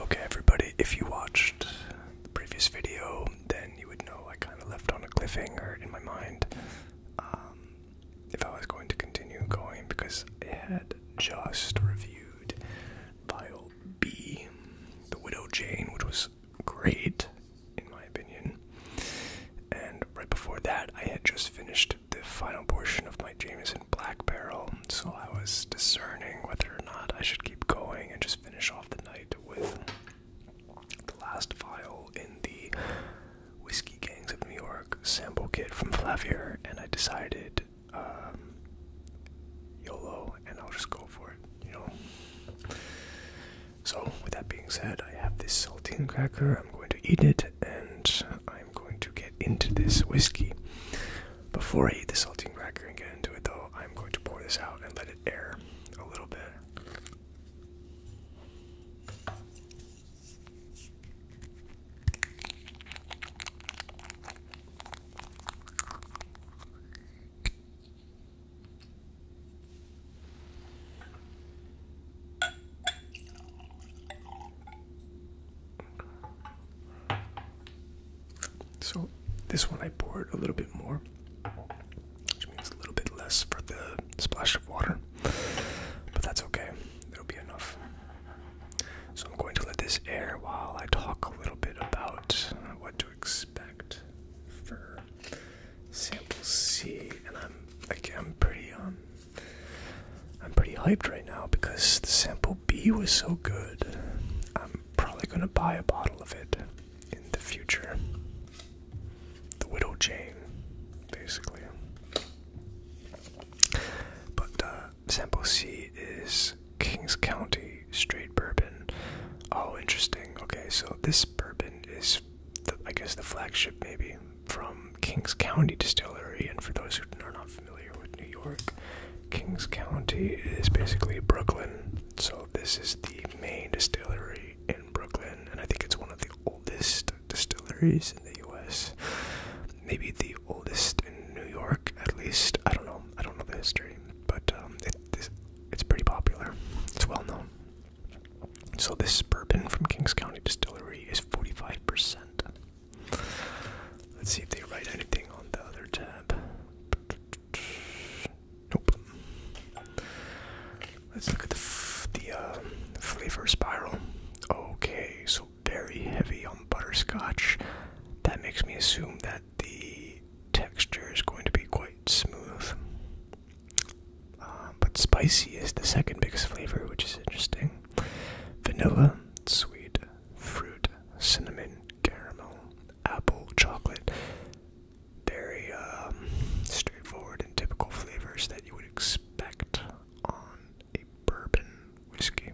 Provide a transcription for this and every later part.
Okay, everybody, if you watched the previous video, then you would know I kind of left on a cliffhanger in my mind. Um, if I was going to continue going because I had just reviewed File B, The Widow Jane, which was great in my opinion. And right before that, I had just finished the final portion of my Jameson Black Barrel, so I was discerning whether or not I should keep going and just finish off the night with the last file in the Whiskey Gangs of New York sample kit from Flavier, and I decided and um, YOLO, and I'll just go for it, you know. So, with that being said, I have this saltine cracker. I'm going to eat it, and I'm going to get into this whiskey. Before I eat the saltine cracker and get into it, though, I'm going to pour this out and let it air a little bit. So, this one I poured a little bit more, which means a little bit less for the splash of water, but that's okay, there'll be enough. So I'm going to let this air while I talk a little bit about what to expect for sample C. And I'm again I'm pretty um, I'm pretty hyped right now because the sample B was so good. I'm probably gonna buy a bottle of it in the future. The Widow Jane, basically. But uh, sample C is Kings County straight bourbon. Oh, interesting. Okay, so this bourbon is, I guess, the flagship maybe from Kings County Distillery. And for those who are not familiar with New York, Kings County is basically Brooklyn. So this is the main distillery in Brooklyn, and I think it's one of the oldest distilleries in the U.S. Maybe the oldest in New York, at least. I don't know. I don't know the history, but um, it's, pretty popular. It's well known. So this bourbon from Kings County Distillery is 45%. Let's see if they write anything on the other tab. Nope. Let's look at the, uh, flavor spiral. Okay, so very heavy on butterscotch. That makes me assume that the texture is going to be quite smooth. Uh, but spicy is the second biggest flavor, which is interesting. Vanilla, sweet, fruit, cinnamon, caramel, apple, chocolate. Very um, straightforward and typical flavors that you would expect on a bourbon whiskey.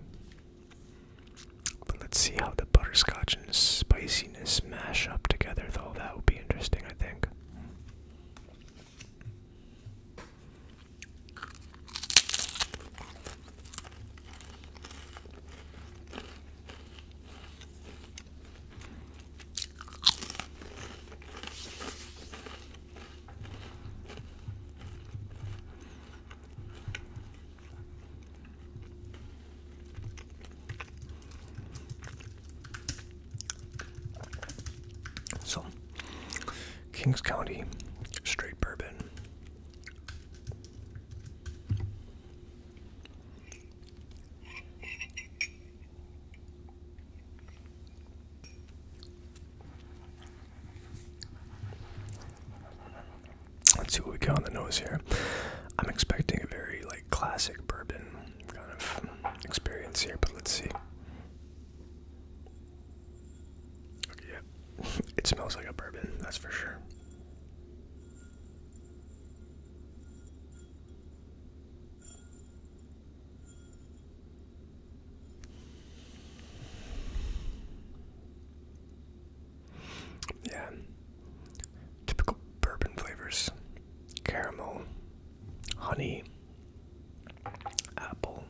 But let's see how the butterscotch and spiciness mash up together, though. That would be interesting, I think. So, Kings County, straight bourbon. Let's see what we get on the nose here. I'm expecting a very like classic bourbon kind of experience here, but let's see. yeah. It smells like a bourbon, that's for sure. Yeah. Typical bourbon flavors caramel, honey, apple.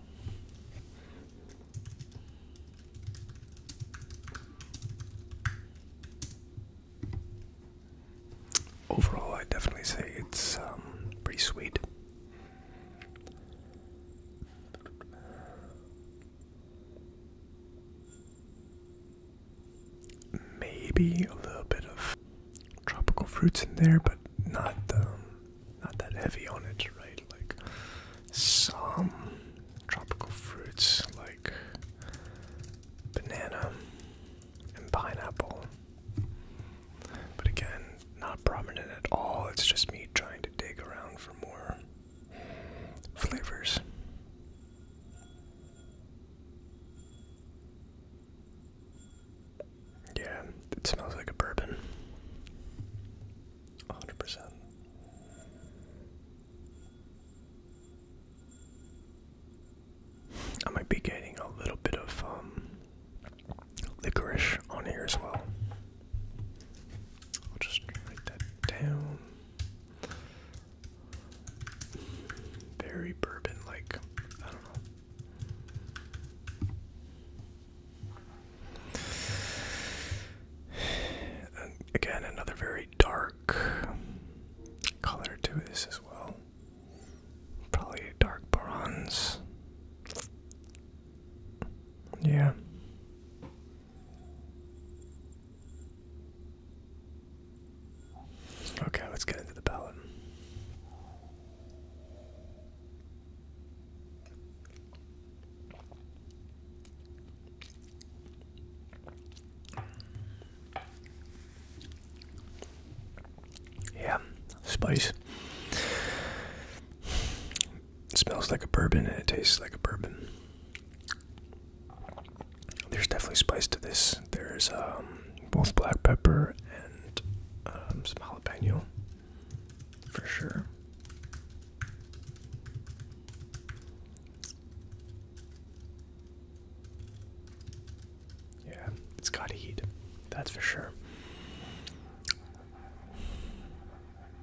Overall, I definitely say it's um, pretty sweet. Maybe a little bit of tropical fruits in there, but not um, not that heavy on it, right? Like some tropical fruits like banana and pineapple, but again, not prominent at all. It's just me trying to dig around for more flavors. Yeah, it smells like a bourbon. 100%. I might be getting a little bit of um, licorice on here as well. I'll just write that down. Very bourbon like. I don't know. again, another very dark color to this as well. Probably a dark bronze. Yeah. Okay, let's get into the ballot. Yeah, spice. It smells like a bourbon and it tastes like a bourbon. There's definitely spice to this. There's um, both black pepper and um, some jalapeno, for sure. Yeah, it's got heat, that's for sure.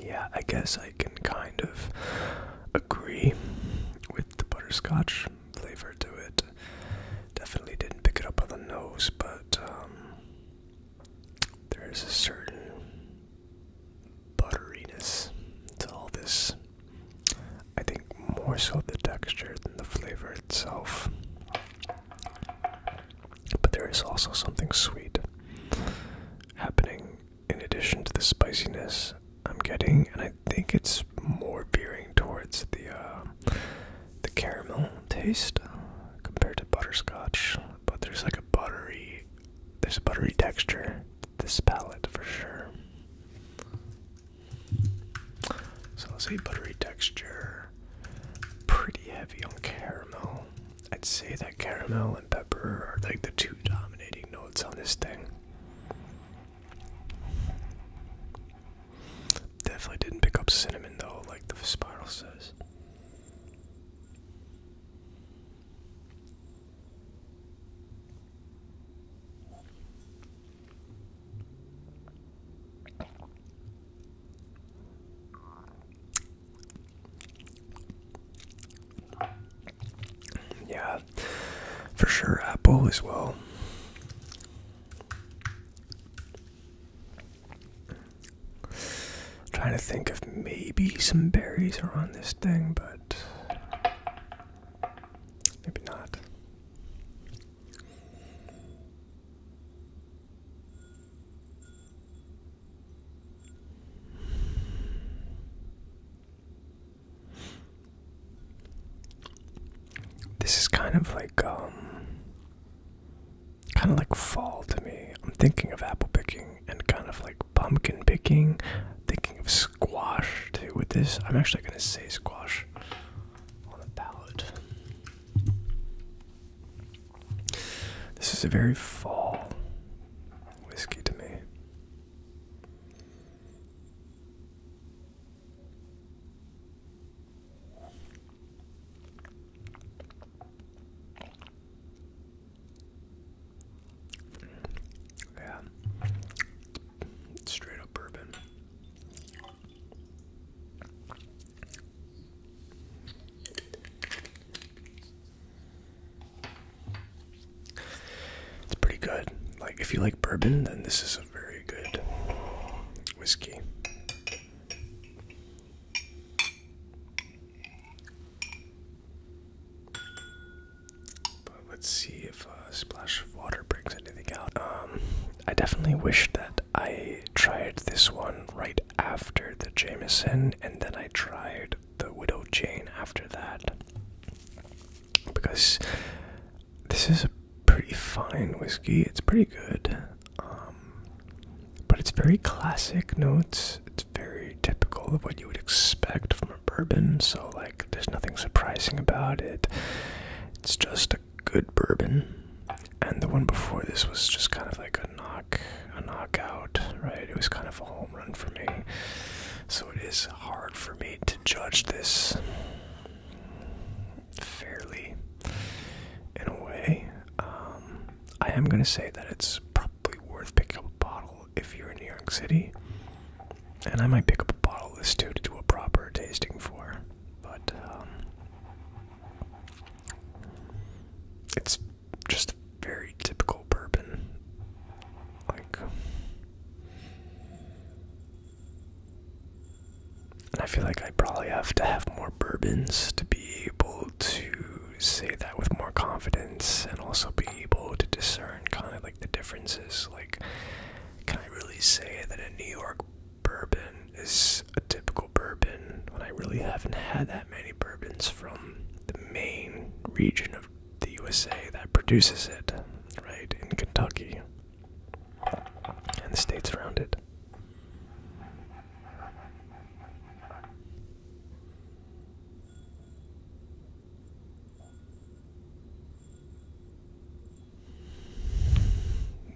Yeah, I guess I can kind of agree with the butterscotch flavor to it. Definitely didn't pick it up on the nose, but um, there is a certain butteriness to all this. I think more so the texture than the flavor itself. But there is also something sweet happening in addition to the spiciness I'm getting, and I think it's more veering towards the uh, the caramel taste compared to butterscotch. But there's like a buttery, there's a buttery texture this palette for sure. So I'll say buttery texture, pretty heavy on caramel. I'd say that caramel and pepper are like the two dominating notes on this thing. Definitely didn't pick up cinnamon though, like the spiral says. Yeah, for sure, Apple as well. trying to think of maybe some berries are on this thing, but maybe not. This is kind of like, um, kind of like fall to me. I'm thinking of apple picking and kind of like pumpkin picking. Thinking of squash too with this. I'm actually going to say squash on the palette. This is a very fall whiskey to me. Yeah. Straight up bourbon. It's pretty good. Like, if you like bourbon, then this is a very good whiskey. But let's see if a splash of water brings anything out. Um, I definitely wish that I tried this one right after the Jameson, and then I tried the widow Jane. after that because this is a pretty fine whiskey it's pretty good um, but it's very classic notes it's very typical of what you would expect from a bourbon so like there's nothing surprising about it it's just a good bourbon and the one before this was just kind of like a knock a knockout right it was kind of a run for me. So it is hard for me to judge this fairly in a way. Um, I am going to say that it's probably worth picking up a bottle if you're in New York City. And I might pick up a bottle of this too to do a proper tasting for. But um, it's just very typical bourbon. Like, and I feel like I probably have to have more bourbons to be able to say that with more confidence and also be able to discern kind of like the differences. Like, can I really say that a New York bourbon is a typical bourbon when I really haven't had that many bourbons from the main region of the USA that produces it, right, in Kentucky and the states around it.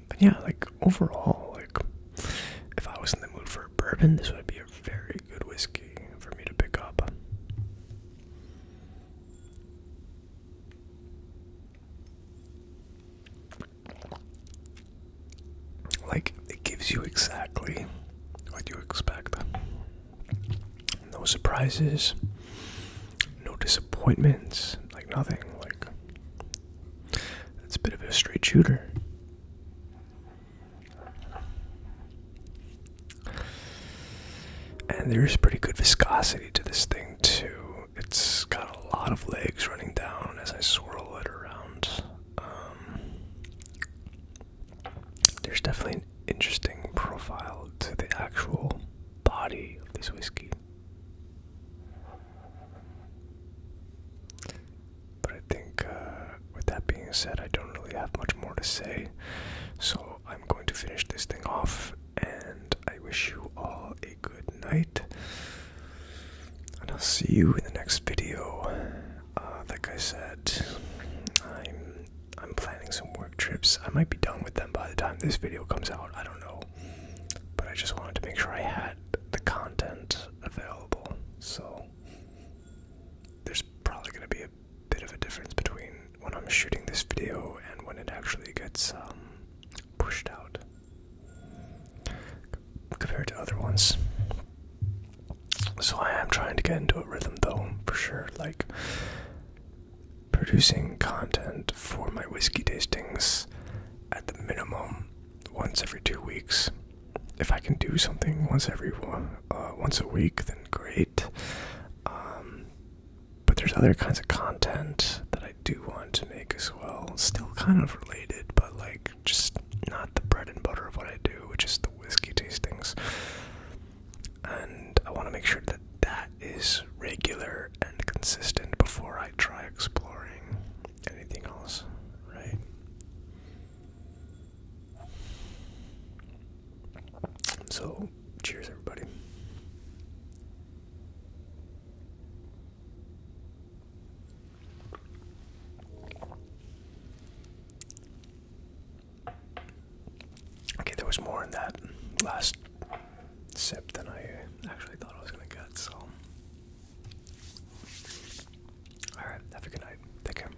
But yeah, like overall, like if I was in the mood for bourbon, this would be a very good whiskey for me to pick up. Like, it gives you exactly what you expect. No surprises, no disappointments, like nothing. Like, it's a bit of a straight shooter. And there is pretty good viscosity to this thing, too. It's got a lot of legs running down as I swirl it around. Um, there's definitely an interesting profile to the actual body of this whiskey. But I think uh, with that being said, I don't really have much more to say. So I'm going to finish this thing off, and I wish you all a good night. And I'll see you in the next video. Uh, like I said, I'm I'm planning some work trips. I might be done with them by the time this video comes out. I don't know, but I just wanted to make sure I had the content available. So there's probably gonna be a bit of a difference between when I'm shooting this video and when it actually gets um, pushed out compared to other ones. So I am trying to get into a rhythm though, for sure. Like producing content for my whiskey tastings at the minimum once every two weeks. If I can do something once every uh, once a week, great. Um, but there's other kinds of content that I do want to make as well. Still kind of related, but like just not the bread and butter of what I do, which is the whiskey tastings. And I want to make sure that that is regular and consistent before I try exploring anything else, right? So, cheers, everybody. Okay, there was more in that last sip than I actually thought I was going to get, so. Alright, have a good night. Take care.